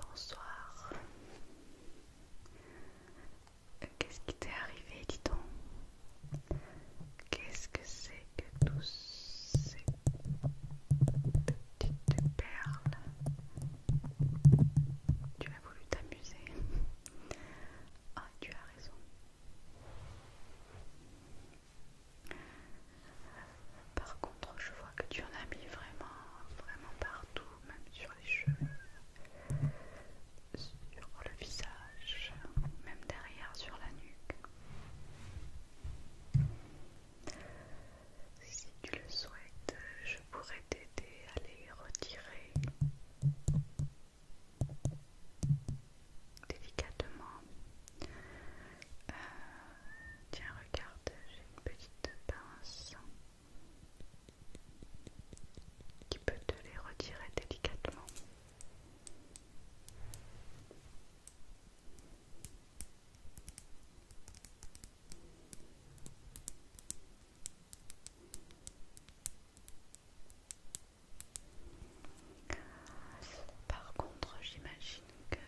Bonsoir. Euh, qu'est-ce qui t'est arrivé, dis donc Qu'est-ce que c'est que tous ces petites perles tu as voulu t'amuser. Ah, tu as raison. Par contre, je vois que tu en as mis vraiment, vraiment partout, même sur les cheveux, sur le visage, même derrière, sur la nuque. Si tu le souhaites, je pourrais t'aider à les retirer délicatement. Euh, tiens, regarde, j'ai une petite pince qui peut te les retirer délicatement. Par contre, j'imagine que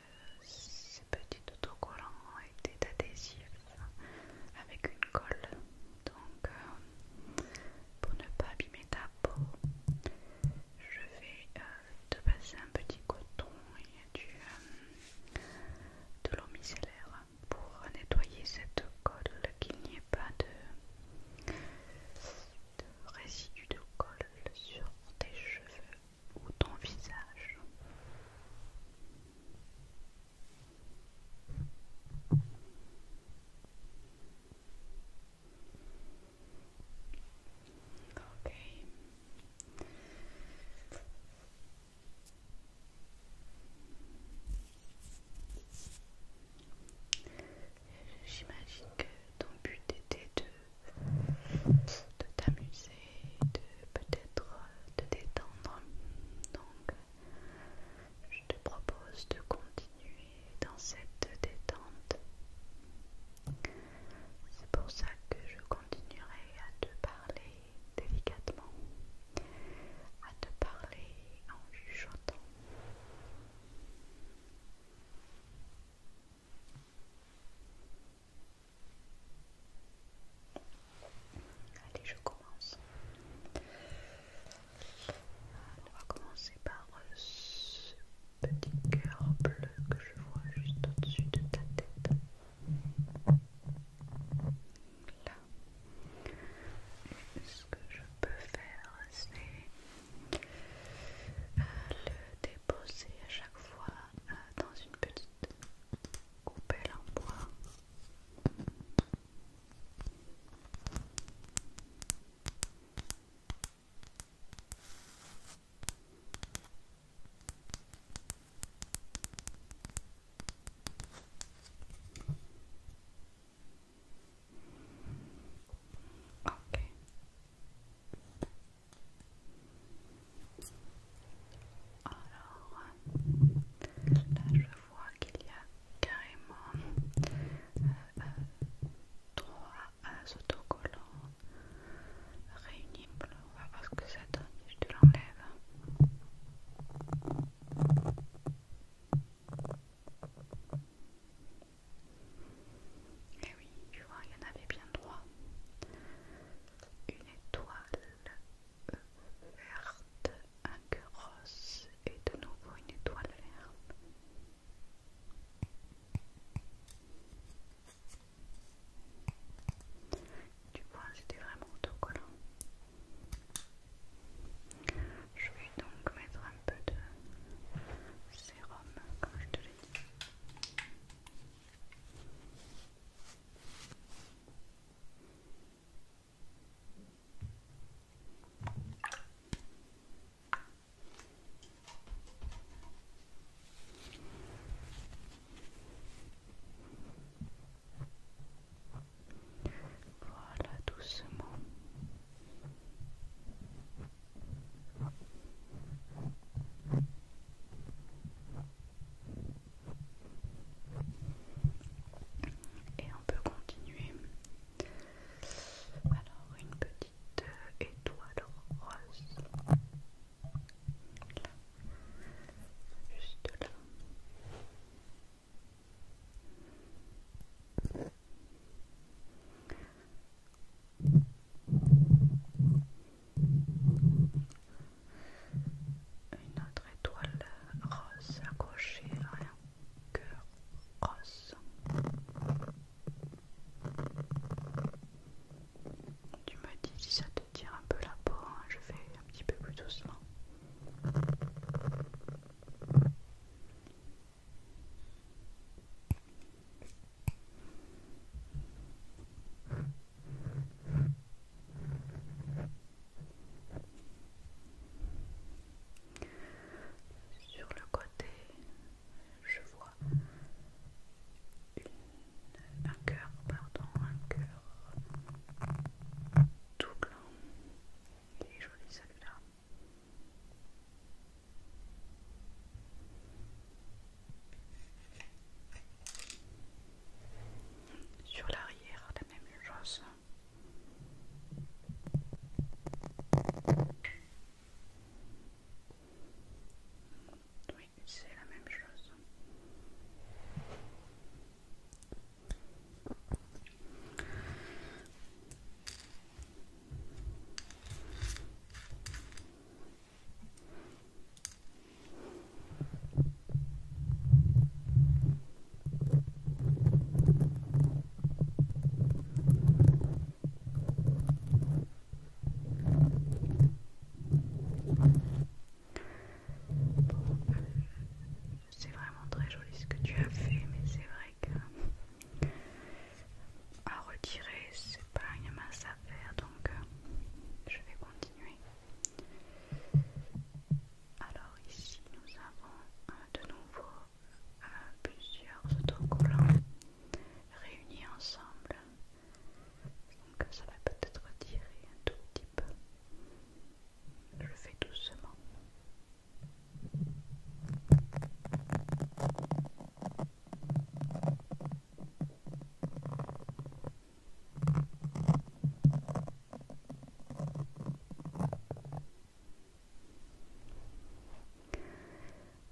ces petits autocollants étaient adhésifs avec une colle, donc euh, pour ne pas abîmer ta peau, je vais euh, de passer un petit coton et du, euh, de l'eau micellaire pour nettoyer cette colle, qu'il n'y ait pas de, de résidus de colle sur tes cheveux ou ton visage. Ok. J'imagine que ton but était de, de t'amuser, de peut-être euh, te détendre. Donc, je te propose de continuer dans cette détente. C'est pour ça que je continuerai à te parler délicatement, à te parler en chuchotant. Allez, je commence. On va commencer par ce petit cœur bleu que je vois juste au-dessus de ta tête. Là. ce que je peux faire, c'est euh, le déposer à chaque fois euh, dans une petite coupelle en bois. Alors là je vois qu'il y a carrément euh, euh, trois à autocollants réunible, On va voir ce que ça donne je te l'enlève. Et eh oui, tu vois, il y en avait bien trois. Une étoile euh, verte, un cœur rose et de nouveau une étoile verte. Du point, c'était vraiment autocollant. Je vais donc mettre un peu de sérum, comme je te l'ai dit. Voilà, doucement. Et on peut continuer. Alors une petite euh, étoile rose. Juste là. Une autre étoile rose accrochée à un cœur rose. Tu me dis si ça te tire un peu la peau, hein, je fais un petit peu plus doucement. Sur le côté, je vois un cœur, pardon, un cœur tout blanc. et est joli celui-là. Sur l'arrière, la même chose. Oui, c'est la même chose c'est vraiment très joli ce que tu as fait, mais c'est vrai que à retirer, c'est pas une masse à faire, donc euh, je vais continuer. Alors ici, nous avons euh, de nouveau euh, plusieurs autocollants réunis ensemble. Donc ça va peut-être tirer un tout petit peu. Je le fais doucement.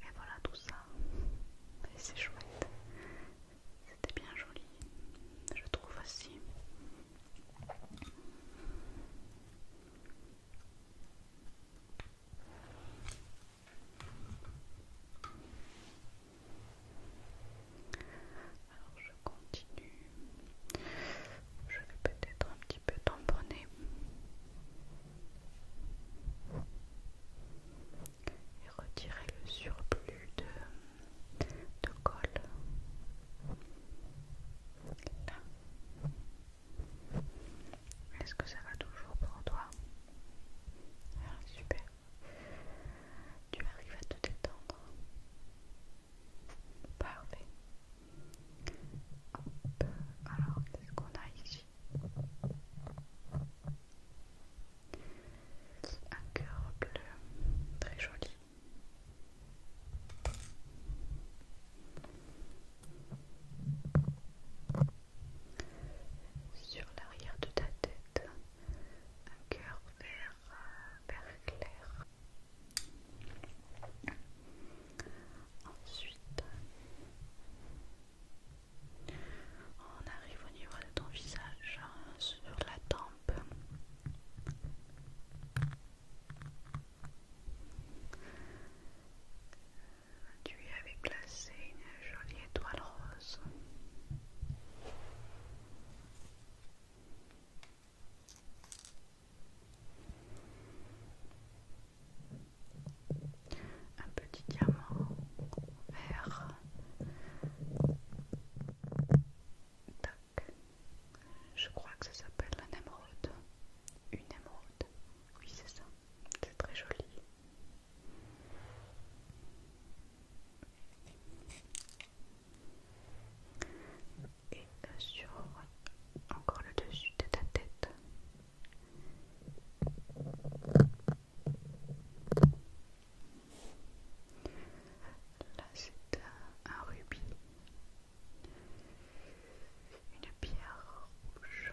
Et voilà tout ça. Et c'est chouette. C'était bien joli. Je trouve aussi. Alors je continue. Je vais peut-être un petit peu tamponner et retirer le surplus de, de colle. Là. Est-ce que ça va toujours pour toi ah, Super. Tu arrives à te détendre. Parfait. Alors, qu'est-ce qu'on a ici un cœur bleu, très joli. Sur l'arrière de ta tête, un cœur vert, vert clair. Ensuite, on arrive au niveau de ton visage, hein, sur la tempe. Tu avais placé une jolie étoile rose un petit diamant vert. Tac. Je crois que ça s'appelle un émeraude. Une émeraude. Oui, c'est ça. C'est très joli. Et euh, sur encore le dessus de ta tête, Là, c'est un, rubis, une pierre rouge.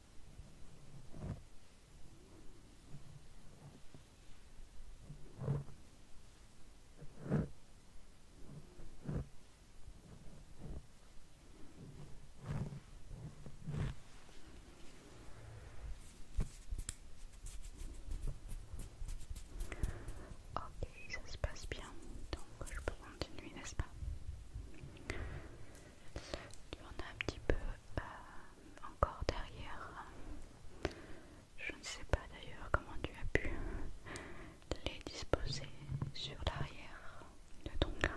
Ok, ça se passe bien, donc je peux continuer, n'est-ce pas tu en as un petit peu euh, encore derrière. Je ne sais pas d'ailleurs comment tu as pu les disposer sur l'arrière de ton crâne.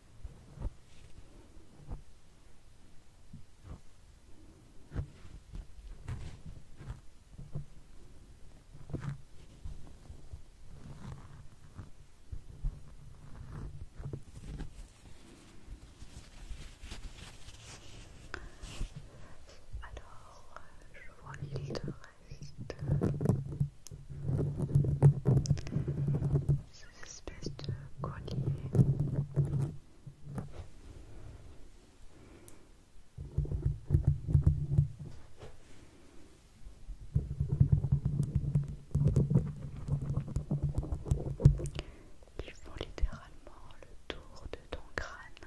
Alors, euh, je vois les de ces espèces de colliers. qui font littéralement le tour de ton crâne.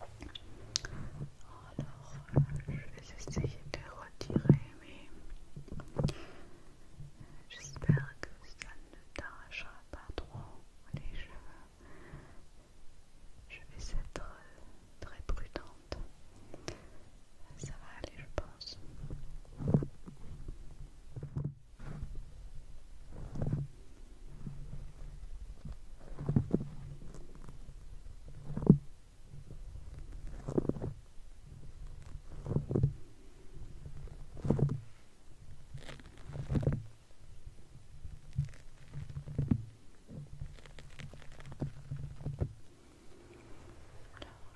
Alors, je vais essayer de retirer, mais j'espère que ça ne t'arrachera pas trop les cheveux. Je vais être très prudente. Ça va aller, je pense. Alors,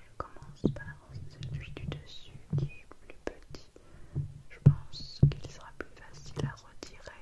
je commence par celui du dessus qui est plus petit. Je pense qu'il sera plus facile à retirer.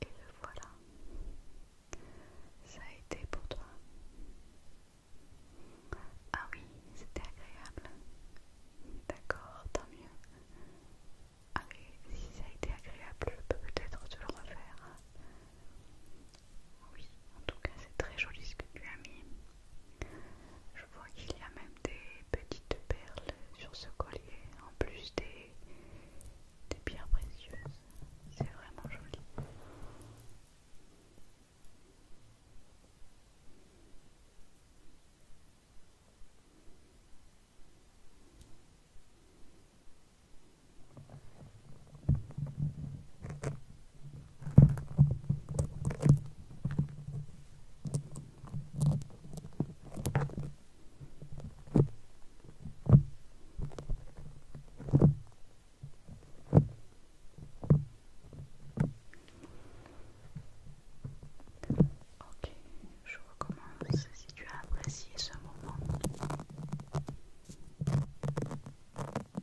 Et le voilà. Ça a été pour toi. Ah oui, c'était agréable. D'accord, tant mieux. Ah si ça a été agréable, peut-être tu le refaire. Oui, en tout cas c'est très joli ce que tu as mis. Je vois qu'il y a même des petites perles sur ce collier, en plus des, des pierres précieuses. C'est vraiment joli. Ok, je recommence si tu as apprécié ce moment.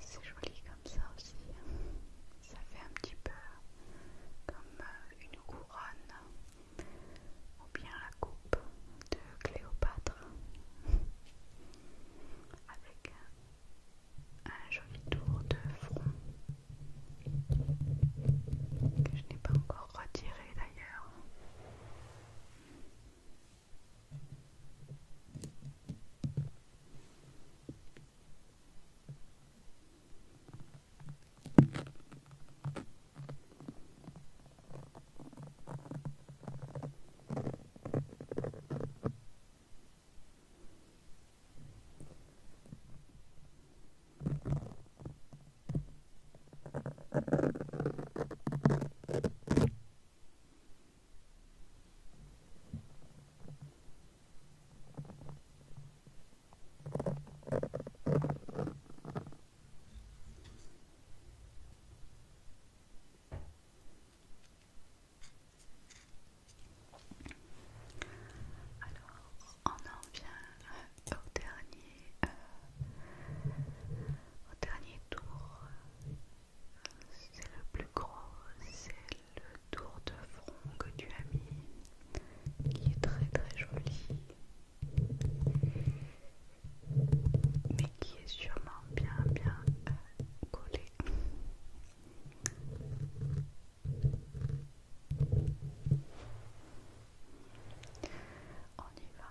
C'est joli comme ça aussi. Ça fait un petit peu comme euh, une couronne ou bien la coupe de Cléopâtre avec un joli tour de front que je n'ai pas encore Retirer d'ailleurs. Alors, on en vient euh, euh, au dernier tour c'est le plus gros c'est le tour de front que tu as mis qui est très très joli mais qui est sûrement bien bien euh, collé on y va.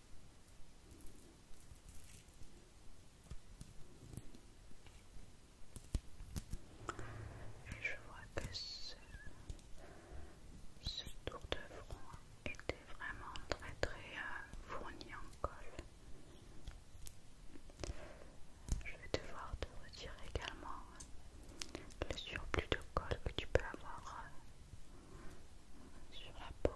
Et je vois que ce, tour de front était vraiment très très euh, fourni en colle. Je vais devoir te retirer également le surplus de colle que tu peux avoir euh, sur la peau.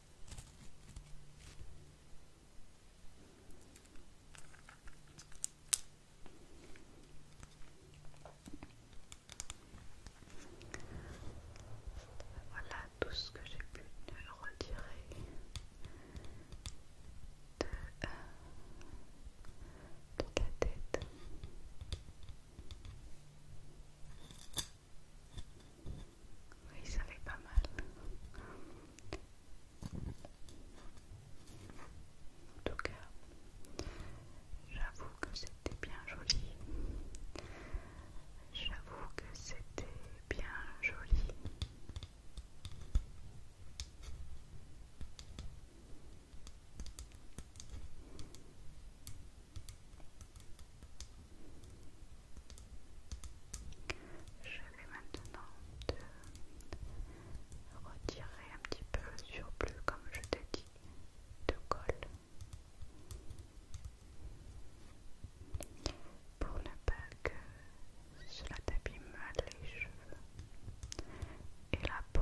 Voilà tout ce que j'ai pu retirer de, la euh, tête. Oui, ça être pas mal. En tout cas, j'avoue que c'était bien joli. J'avoue que c'était bien joli. Je vais maintenant te retirer un petit peu le surplus, comme je t'ai dit, de colle pour ne pas que cela t'abîme les cheveux et la peau.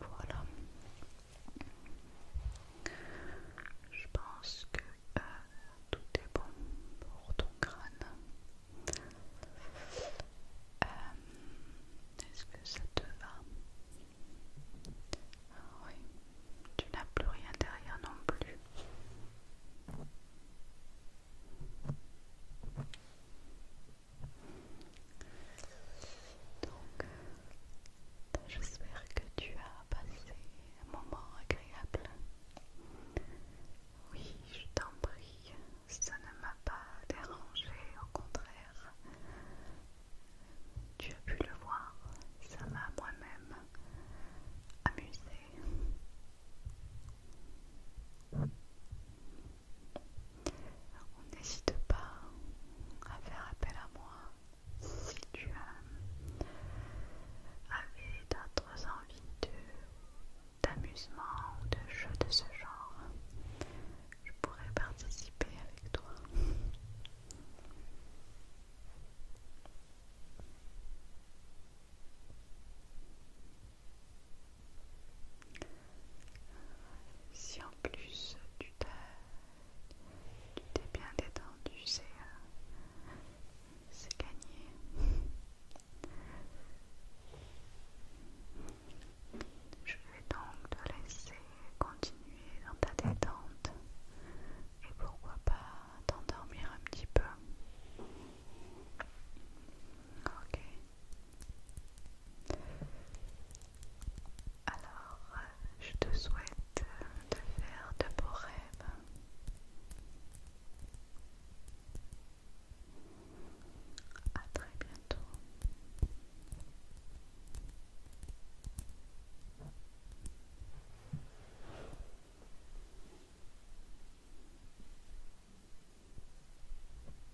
Voilà. Je pense que euh, tout est bon pour ton crâne. Euh, est-ce que ça te va ah Oui. Tu n'as plus rien derrière non plus. Donc, euh, j'espère que tu as passé un moment agréable. Oui, je t'en prie, ça ne m'a pas dérangé, au contraire. Tu as pu le voir, ça m'a moi-même amusé. On n'hésite pas à faire appel à moi si tu as, euh, avais d'autres envies d'amusement ou de jeux de ce genre. Je pourrais participer avec toi. Si en plus tu t'es bien détendu, euh, c'est gagné. Je vais donc te laisser continuer dans ta détente et pourquoi pas t'endormir un petit peu. Ok. Alors, je te souhaite de faire de beaux rêves. À très bientôt.